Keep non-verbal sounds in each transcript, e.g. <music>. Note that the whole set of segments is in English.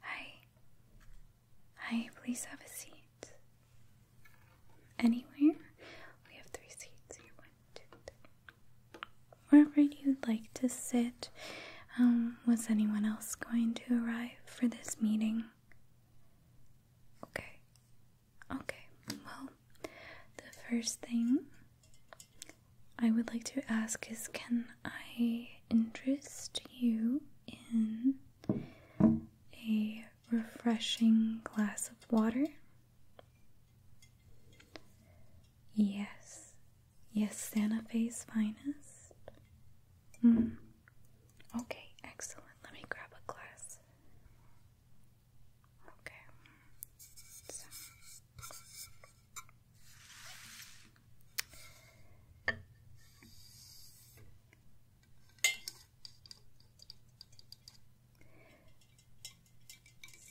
Hi. Hi, please have a seat. Anywhere? We have three seats here. One, two, three. Wherever you'd like to sit. Um, was anyone else going to arrive for this meeting? Okay. Okay. Well, the first thing I would like to ask is can I interest you in a refreshing glass of water? Yes. Yes, Santa Fe's finest. Mm. Okay, excellent. Let me grab a glass. Okay.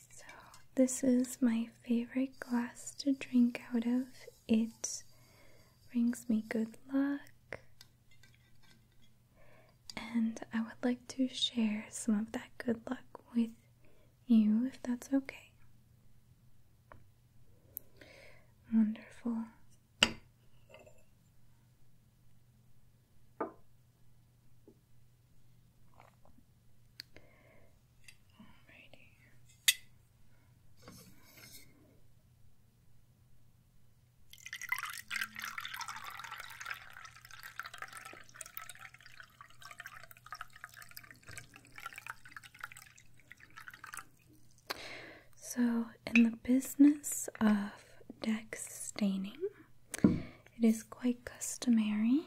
So. this is my favorite glass to drink out of. It brings me good luck. And I would like to share some of that good luck with you if that's okay. Wonderful. Alrighty. So, in the business of deck staining, it is quite customary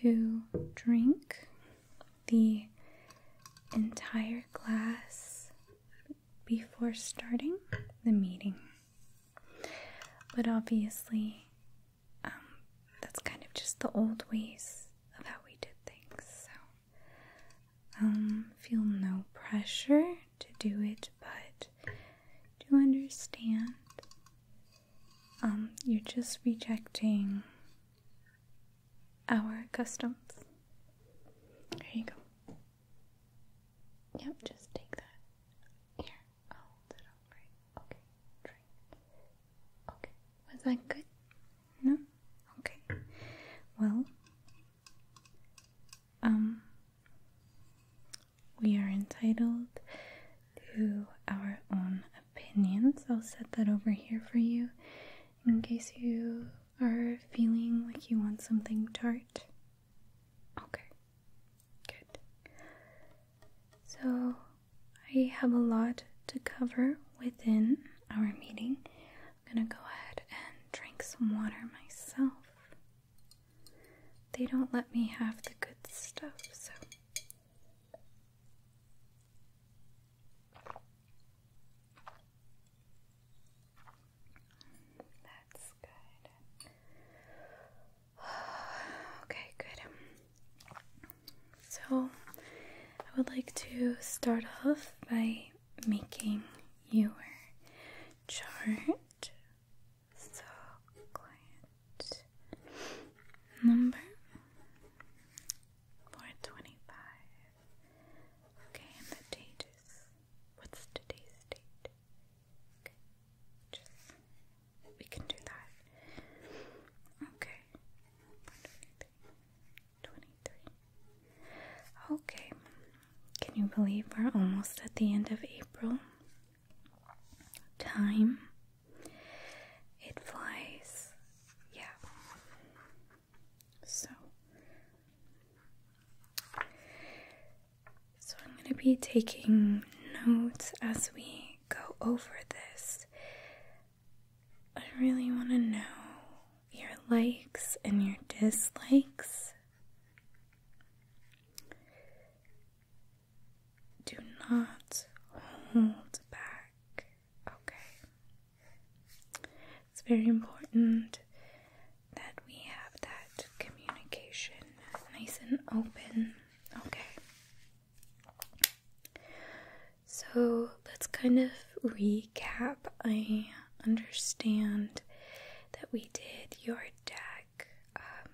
to drink the entire glass before starting the meeting. But obviously, um, that's kind of just the old ways of how we did things. So, um, feel no pressure to do it, but do understand um, you're just rejecting our customs. There you go. Yep, just take that. Here, I'll it up Okay, Okay, was that good? No? Okay. Well, um, we are entitled to our own opinions. I'll set that over here for you in case you are feeling like you want something tart? Okay, good. So, I have a lot to cover within our meeting. I'm gonna go ahead and drink some water myself. They don't let me have the good stuff, so. That's good. <sighs> Okay, good. So, I would like to start off by making your chart. So, client number 425. Okay, and the date is what's today's date? Just we can do that. Okay. Twenty-three. Okay. Can you believe we're almost at the end of April? Time. It flies. Yeah. So, so I'm going to be taking notes as we go over this. I really want to know your likes and your dislikes. Do not hold back, okay? It's very important that we have that communication nice and open. Okay. So let's kind of recap. I understand that we did your deck um,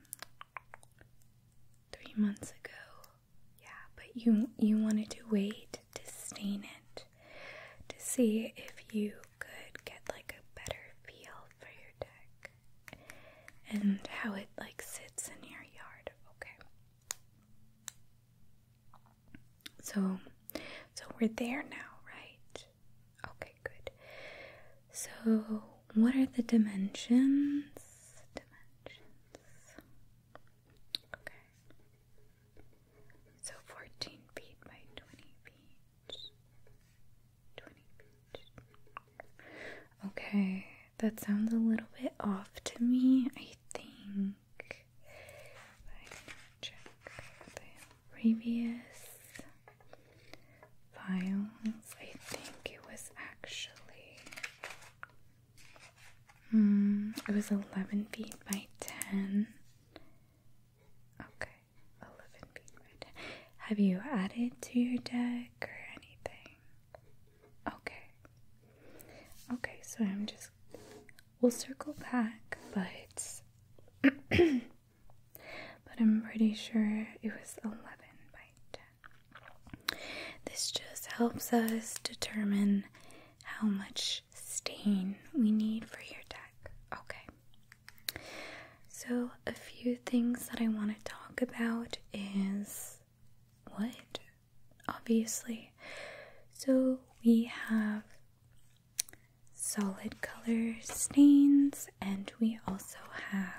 three months ago. Yeah, but you you wanted to wait to stain it to see if you could get like a better feel for your deck and how it like sits in your yard. Okay. So so we're there now, right? Okay, good. So what are the Dimensions. Okay. So fourteen feet by twenty feet. Twenty feet. Okay, that sounds a little bit off to me, I think. check the previous files. I think it was actually hmm, it was eleven feet by ten. Okay, 11 being red. Have you added to your deck or anything? Okay. Okay, so I'm just. We'll circle back, but. <clears throat> but I'm pretty sure it was 11 by 10. This just helps us determine how much stain we need for your deck. Okay. So, a few things that I want to talk about is wood, obviously. So, we have solid color stains, and we also have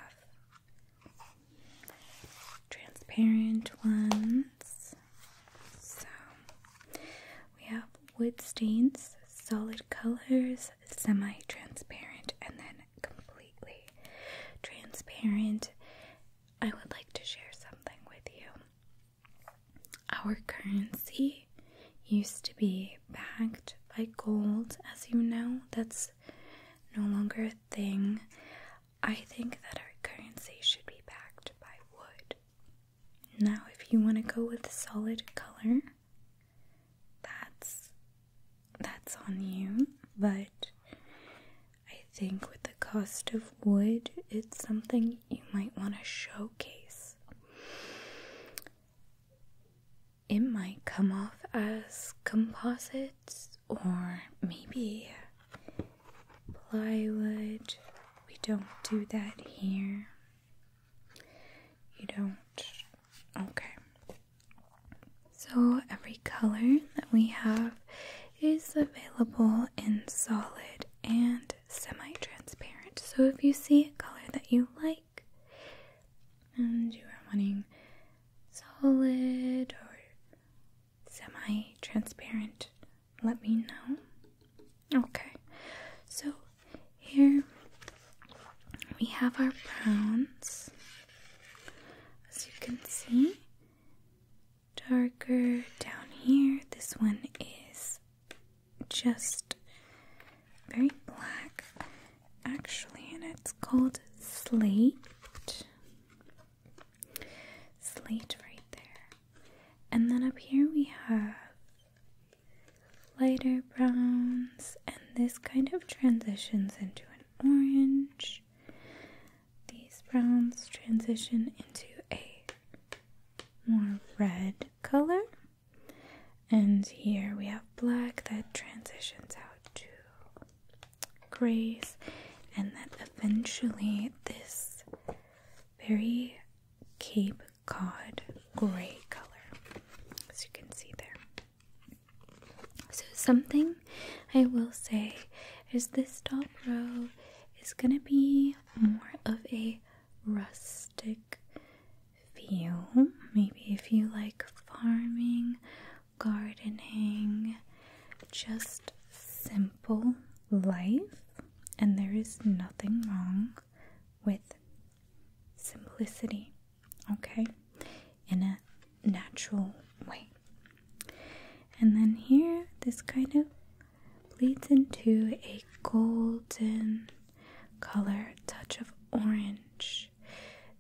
transparent ones. So we have wood stains, solid colors, semi transparent, and then completely transparent. I would like to share something with you. Our currency used to be backed by gold, as you know, that's no longer a thing. I think that our currency should be backed by wood. Now, if you want to go with solid color, that's that's on you, but I think with the cost of wood, it's something you might want to showcase. It might come off as composites or maybe plywood. We don't do that here. You don't? Okay. So, every color that we have is available in solid and semi transparent. So, if you see a color that you like and you are wanting solid or semi transparent, let me know. Okay, so here we have our browns. As you can see, darker down here. This one is just very black, actually, and it's called slate. Slate right there. And then up here we have lighter browns, and this kind of transitions into an orange. These browns transition into a more red color. And here we have black that transitions out to grays, and that eventually this very Cape Cod gray color, as you can see there. So, something I will say is this top row is going to be more of a rustic feel. Maybe if you like farming, gardening, just simple life, and there is nothing wrong with simplicity, okay, in a natural way. And then here, this kind of bleeds into a golden color, touch of orange.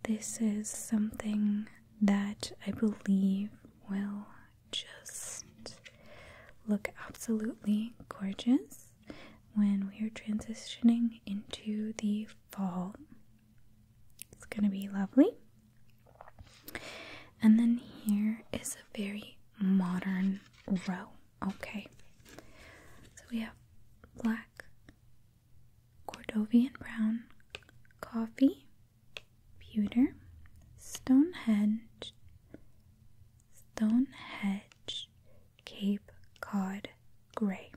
This is something that I believe will just look absolutely gorgeous when we are transitioning into the fall. It's going to be lovely. And then here is a very modern row. Okay. So we have black, Cordovian brown, coffee, pewter, Stonehenge, Stonehedge, Cape Cod Grey.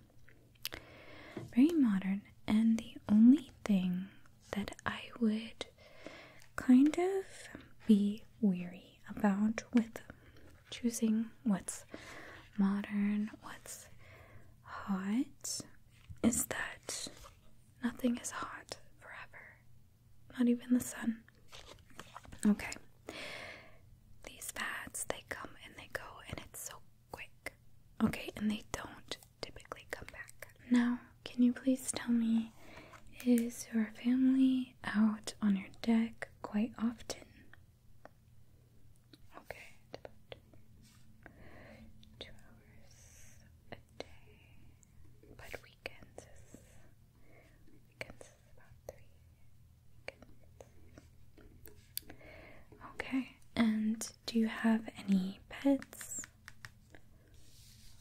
Very modern, and the only thing that I would kind of be weary about with choosing what's modern, what's hot, is that nothing is hot forever. Not even the sun. Okay. These fads, they come and they go, and it's so quick. Okay, and they don't typically come back. Now, can you please tell me, is your family out on your deck quite often? Okay, two hours a day, but weekends Okay, and do you have any pets?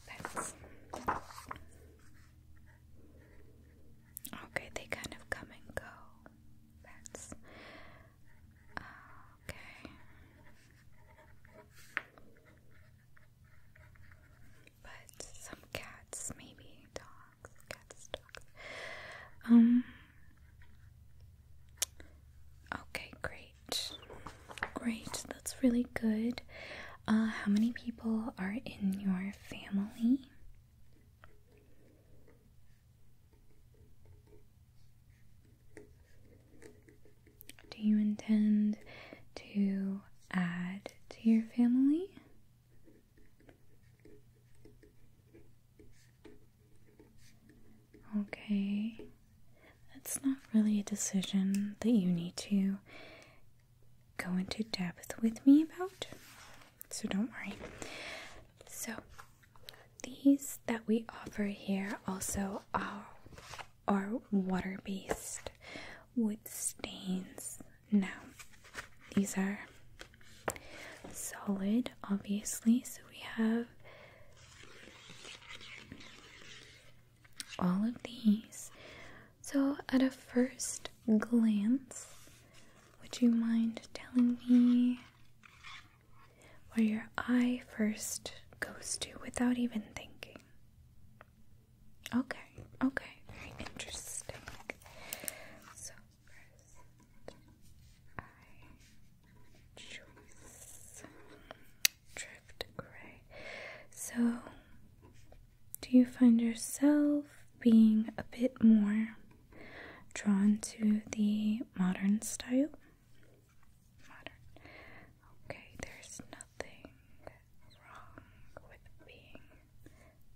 Pets. Okay, they kind of come and go. Pets. Okay. But some cats, maybe dogs, cats, dogs. Um. Okay, great, great. That's really good. Uh, how many people are in your family? Do you intend to add to your family? Okay, that's not really a decision that you need to go into depth with me about, so don't worry. So, these that we offer here also are are water based wood stains. Now, these are solid, obviously, so we have all of these. So, at a first glance, would you mind telling me where your eye first goes to without even thinking? Okay, okay, very interesting. So, I choose Drift Grey. So, do you find yourself being a bit more drawn to the modern style? Modern. Okay, there's nothing wrong with being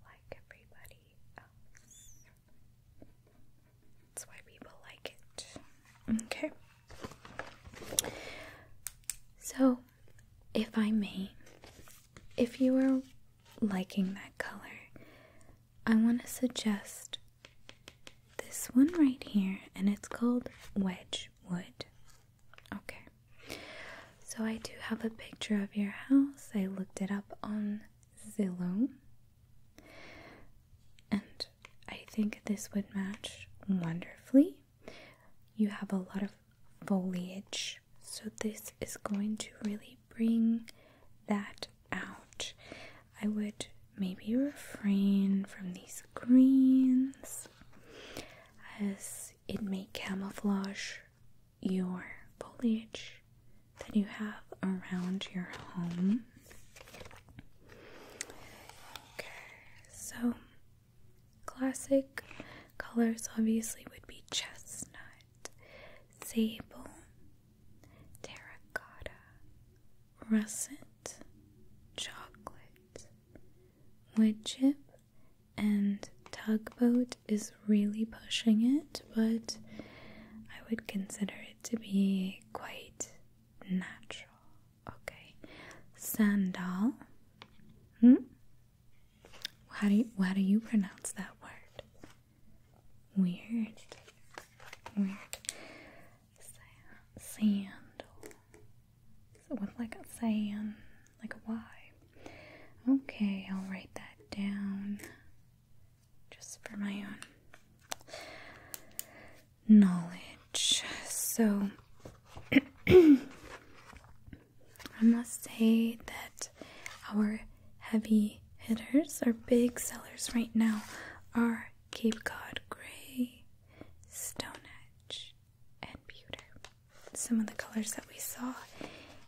like everybody else. That's why people like it. Okay. So, if I may, if you are liking that color, I want to suggest this one right here, and it's called Wedge Wood. Okay. So I do have a picture of your house. I looked it up on Zillow. And I think this would match wonderfully. You have a lot of foliage. So this is going to really bring that out. I would maybe refrain from these greens as it may camouflage your foliage that you have around your home. Okay, so classic colors obviously would be chestnut, sable, terracotta, russet, chocolate, wood chip and tugboat is really pushing it, but I would consider it to be quite natural. Okay, sandal. Hmm? How do you, how do you pronounce that word? Weird. Weird. Sandal. So with like a sand, like a Y. Okay, I'll write that down just for my own knowledge. So <clears throat> I must say that our heavy hitters, our big sellers right now, are Cape Cod Grey, Stone Stonehenge, and pewter. Some of the colors that we saw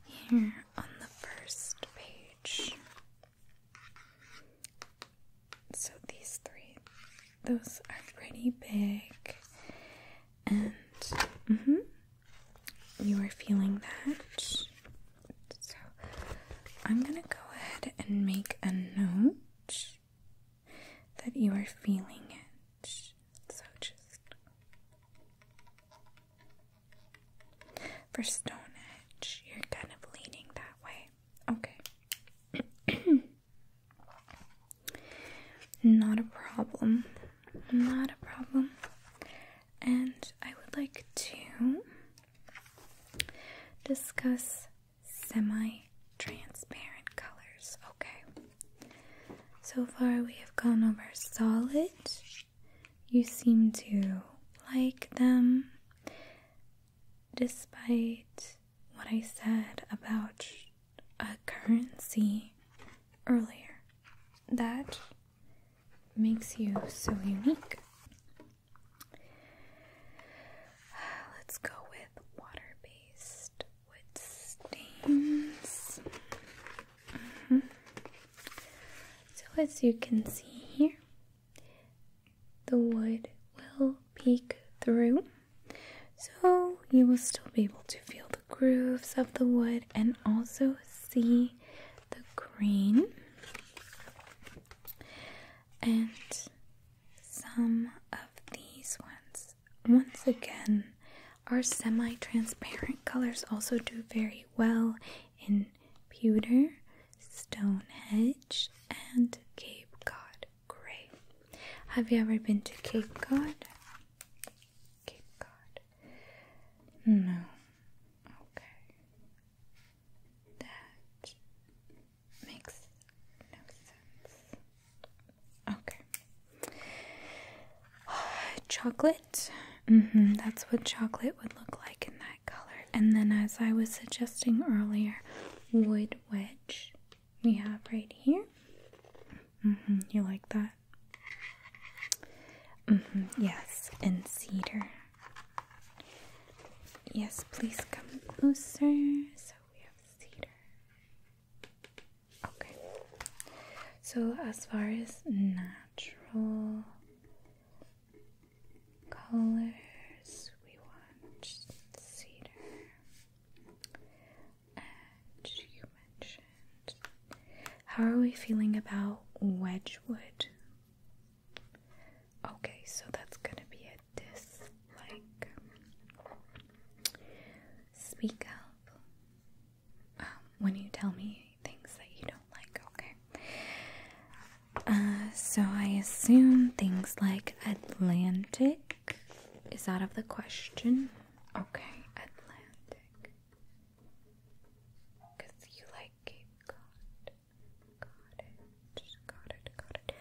here on the first page. So these three, those are pretty big, and mm-hmm, you are feeling that. So I'm gonna go ahead and make a note that you are feeling it. So just for Stone Edge, you're kind of leaning that way. Okay. <clears throat> Not a problem. Not a problem. And I would like to discuss semi-transparent colors. Okay. So far we have gone over solid. You seem to like them despite what I said about a currency earlier. That makes you so unique. Let's go with water based wood stains. Mm-hmm. So, as you can see here, the wood will peek through, so you will still be able to feel the grooves of the wood and also see the green and some of these ones once again, our semi-transparent colors also do very well in pewter, Stonehenge, and Cape Cod Grey. Have you ever been to Cape Cod? Cape Cod. No. Okay. That makes no sense. Okay. <sighs> chocolate. Mm -hmm, that's what chocolate would look like in that color. And then, as I was suggesting earlier, wood wedge we have right here. Mm -hmm, you like that? Mm -hmm, yes, and cedar. Yes, please come closer. So we have cedar. Okay. So, as far as natural colors, we want cedar, and you mentioned. How are we feeling about Wedgwood? Okay, so that's gonna be it with speak up um, when you tell me things that you don't like, okay? Uh, so I assume things like Atlantic is out of the question. Okay, Atlantic. Because you like Cape Cod. Got it. Got it. Got it.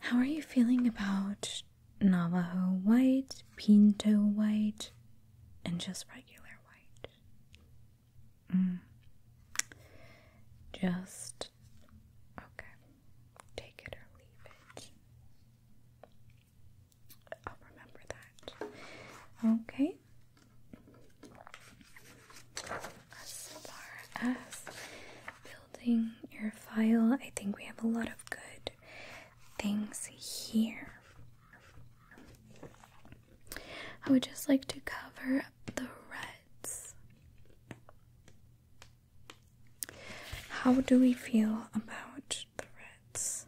How are you feeling about Navajo white, pinto white, and just regular white? Mm. Just okay. Take it or leave it. I'll remember that. Okay. As far as building your file. I think we have a lot of good things here. I would just like to cover up the reds. How do we feel about the reds?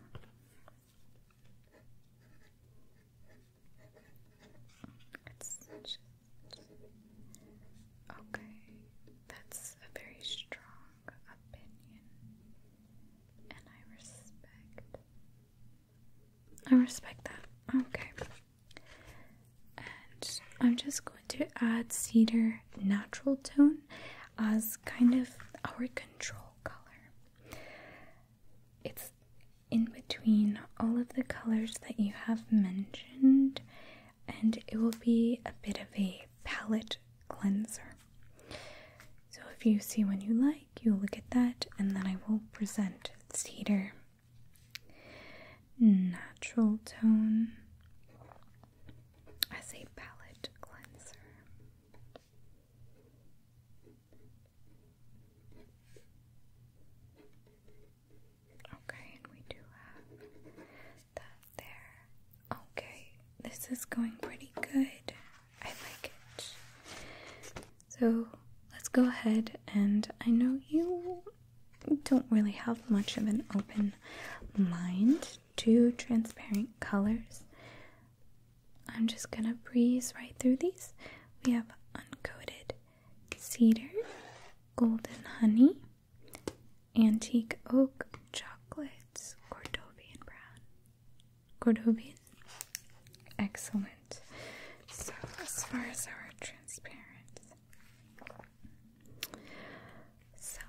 Okay, that's a very strong opinion, and I respect. I respect that. Okay. And I'm just going to add cedar natural tone as kind of our control color. It's in between all of the colors that you have mentioned and it will be a bit of a palette cleanser. So, if you see one you like, you look at that, and then I will present cedar, natural tone as a palette cleanser. Okay, and we do have that there. Okay, this is going pretty good. I like it. So let's go ahead, and I know you don't really have much of an open mind to transparent colors. I'm just gonna breeze right through these. We have uncoated cedar, golden honey, Antique Oak Chocolates, Cordovian Brown. Cordovian? Excellent. So, as far as our transparent, so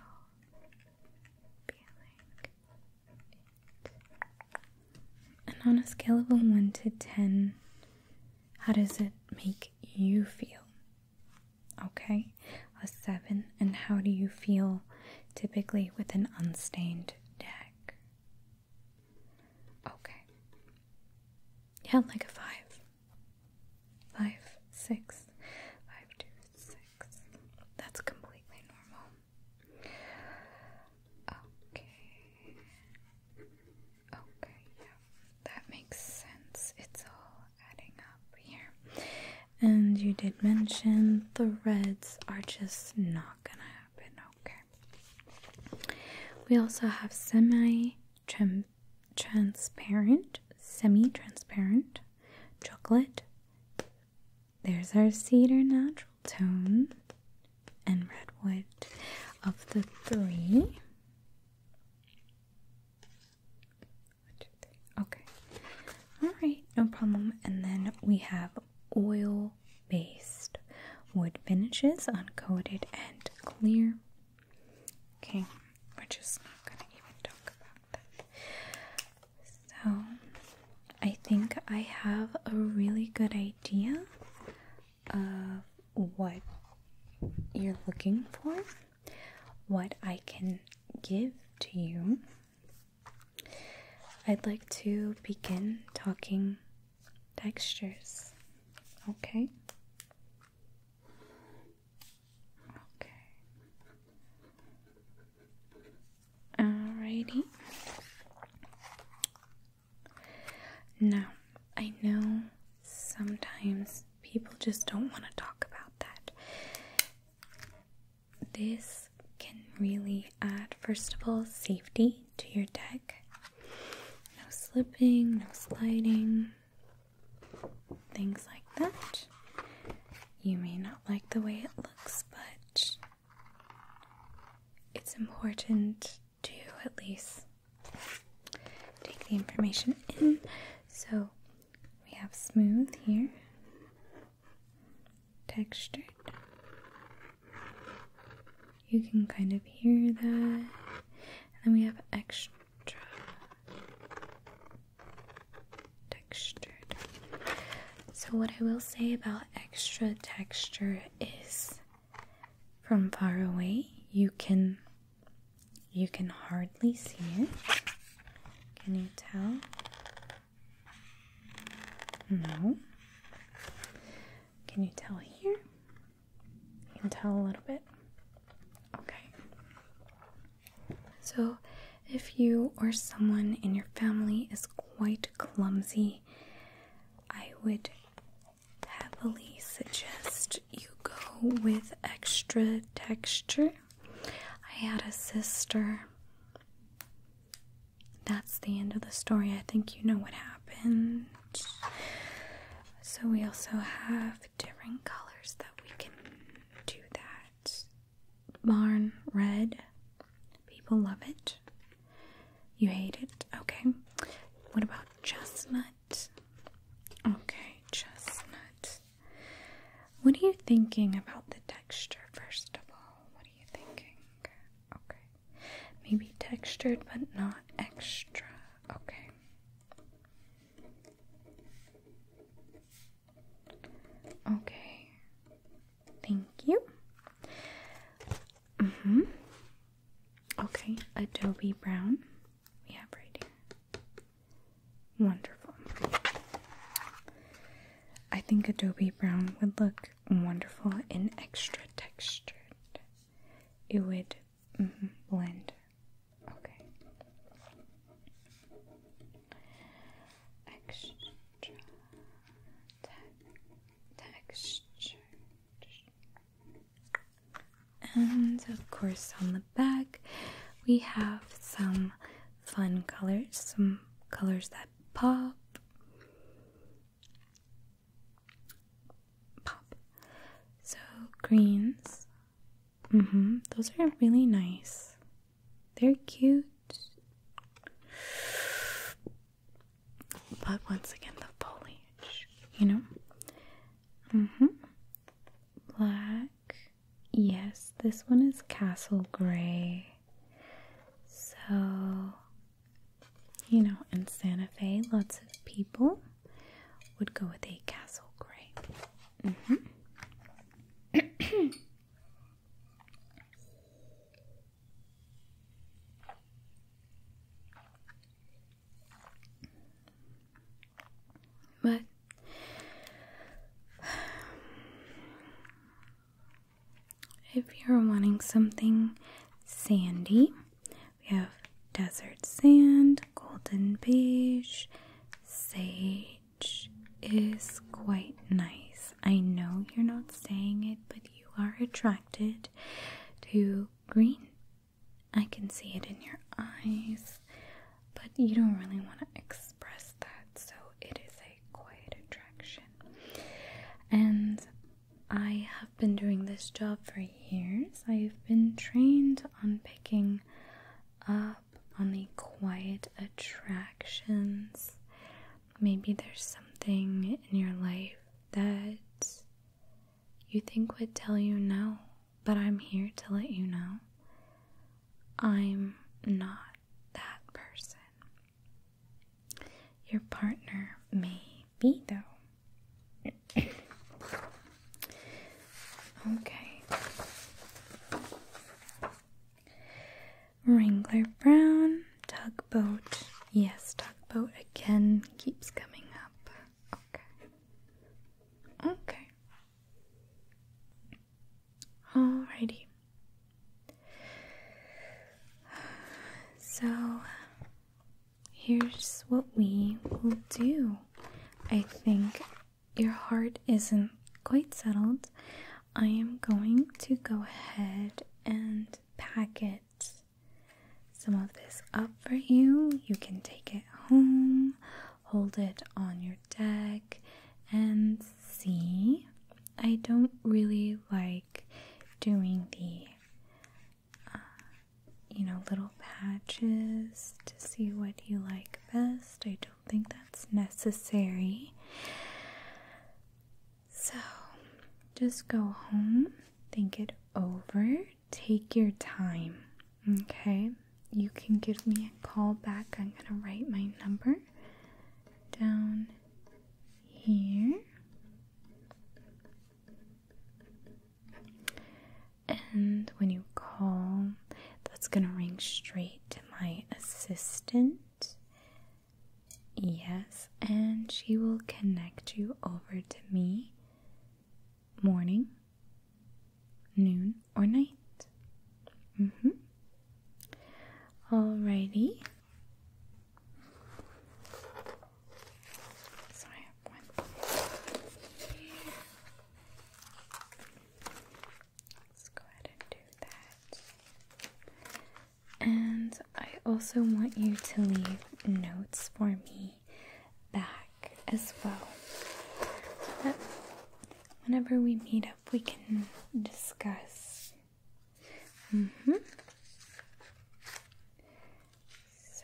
And on a scale of 1 to 10, how does it make you feel? Okay, a seven. And how do you feel typically with an unstained deck? Okay. Yeah, like a five. Five, six, five, two, six. That's completely normal. Okay. Okay, yeah, that makes sense. It's all adding up here. And you did mention the reds are just not gonna happen. Okay. We also have semi transparent, semi transparent chocolate. There's our cedar natural tone and redwood of the three. Okay. Alright, no problem. And then we have oil based wood finishes, uncoated and clear. Okay, we're just not going to even talk about that. So, I think I have a really good idea of what you're looking for what I can give to you, I'd like to begin talking textures. Okay? Okay. Alrighty. Now, I know sometimes people just don't want to talk about that. This can really add, first of all, safety to your deck. No slipping, no sliding, things like that. You may not like the way it looks, but it's important to at least take the information in. So we have smooth here, textured. You can kind of hear that. And then we have extra textured. So, what I will say about extra texture is from far away, you can you can hardly see it. Can you tell? No. Can you tell here? You can tell a little bit. Okay. So, if you or someone in your family is quite clumsy, I would heavily suggest you go with extra texture. I had a sister. That's the end of the story. I think you know what happened. So, we also have different colors that we can do that. Barn red. People love it. You hate it? Okay. What about chestnut? chestnut. Okay, chestnut. What are you thinking about the texture, first of all? What are you thinking? Okay. Maybe textured but not extra. Okay. Okay. Thank you. Mhm. Mm okay, Adobe Brown we have right here. Wonderful. I think Adobe Brown would look wonderful in extra textured. It would mm-hmm, blend. Okay. Extra te and of course, on the back, we have some fun colors, some colors that pop. Pop. So, greens. Mm hmm. Those are really nice. They're cute. But once again, the foliage, you know? Mm hmm. Black. Yes, this one is castle gray. So, you know, in Santa Fe, lots of people would go with a castle gray. Mm hmm. But if you're wanting something sandy, we have desert sand, golden beige, sage is quite nice. I know you're not saying it, but you are attracted to green I can see it in your eyes, but you don't really want to express that, so it is a quiet attraction. And I have been doing this job for years. I've been trained on picking up on the quiet attractions. Maybe there's something in your life that you think would tell you no, but I'm here to let you know I'm not that person. Your partner may be, though. okay. Wrangler Brown, tugboat. Yes, tugboat again keeps coming up. Okay. Okay. Alrighty. So here's what we will do. I think your heart isn't quite settled. I am going to go ahead and pack it some of this up for you. You can take it home, hold it on your deck, and see. I don't really like doing the uh, you know little patches to see what you like best. I don't think that's necessary. So, just go home, think it over, take your time. Okay, you can give me a call back. I'm gonna write my number down here. And when you call, that's going to ring straight to my assistant. Yes, and she will connect you over to me morning, noon, or night. Mm hmm. Alrighty. So I have one. Let's go ahead and do that. And I also want you to leave notes for me back as well. So whenever we meet up, we can discuss. hmm. So.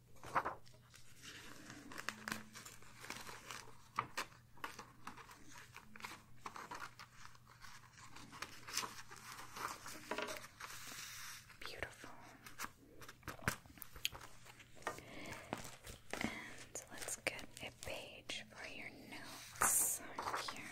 Beautiful. And let's get a page for your notes here.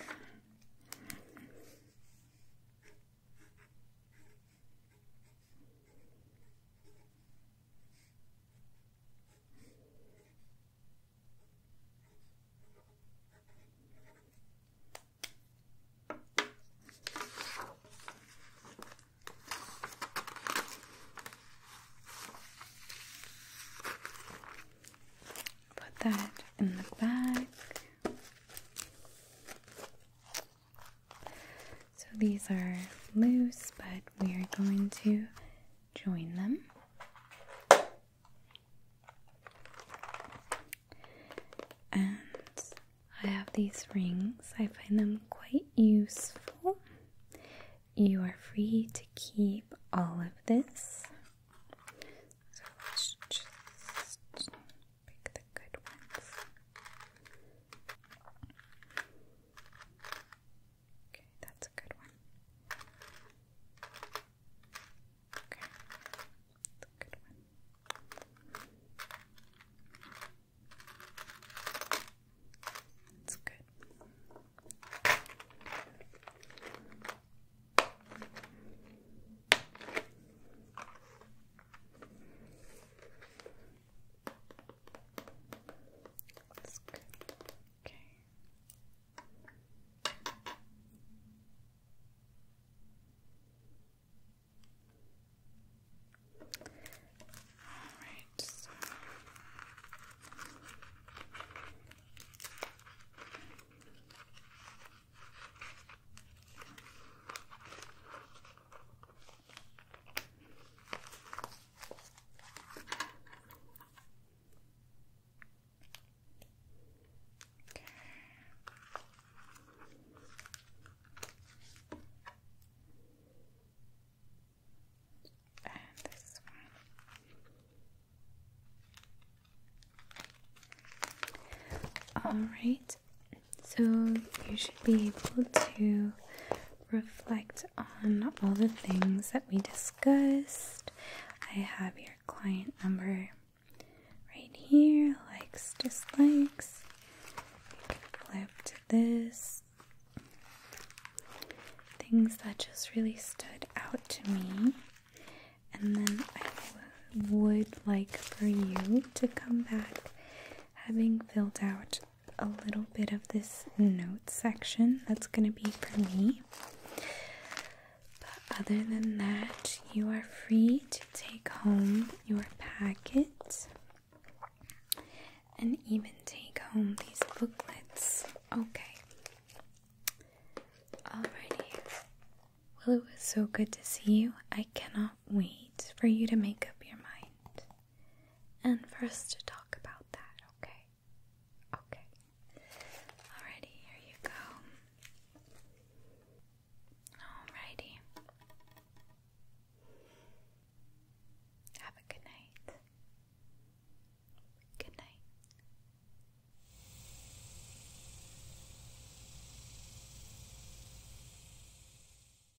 Put that in the back. So these are loose, but we are going to join them. And I have these rings. I find them quite useful. You are free to keep all of this. So let's just pick the good ones. Okay, that's a good one. Okay, that's a good one. That's good. That's good. Okay. Alright, so and this one. All right. So you should be able to reflect on all the things that we discussed. I have your client number right here likes, dislikes. You can flip to this. Things that just really stood out to me. And then I would like for you to come back having filled out a little bit of this note section. That's going to be for me. But other than that, you are free to take home your packet and even take home these booklets. Okay. Alrighty. Well, it was so good to see you. I cannot wait for you to make up your mind and for us to talk about that, okay? Okay. Alrighty, here you go. Alrighty. Have a good night. Good night.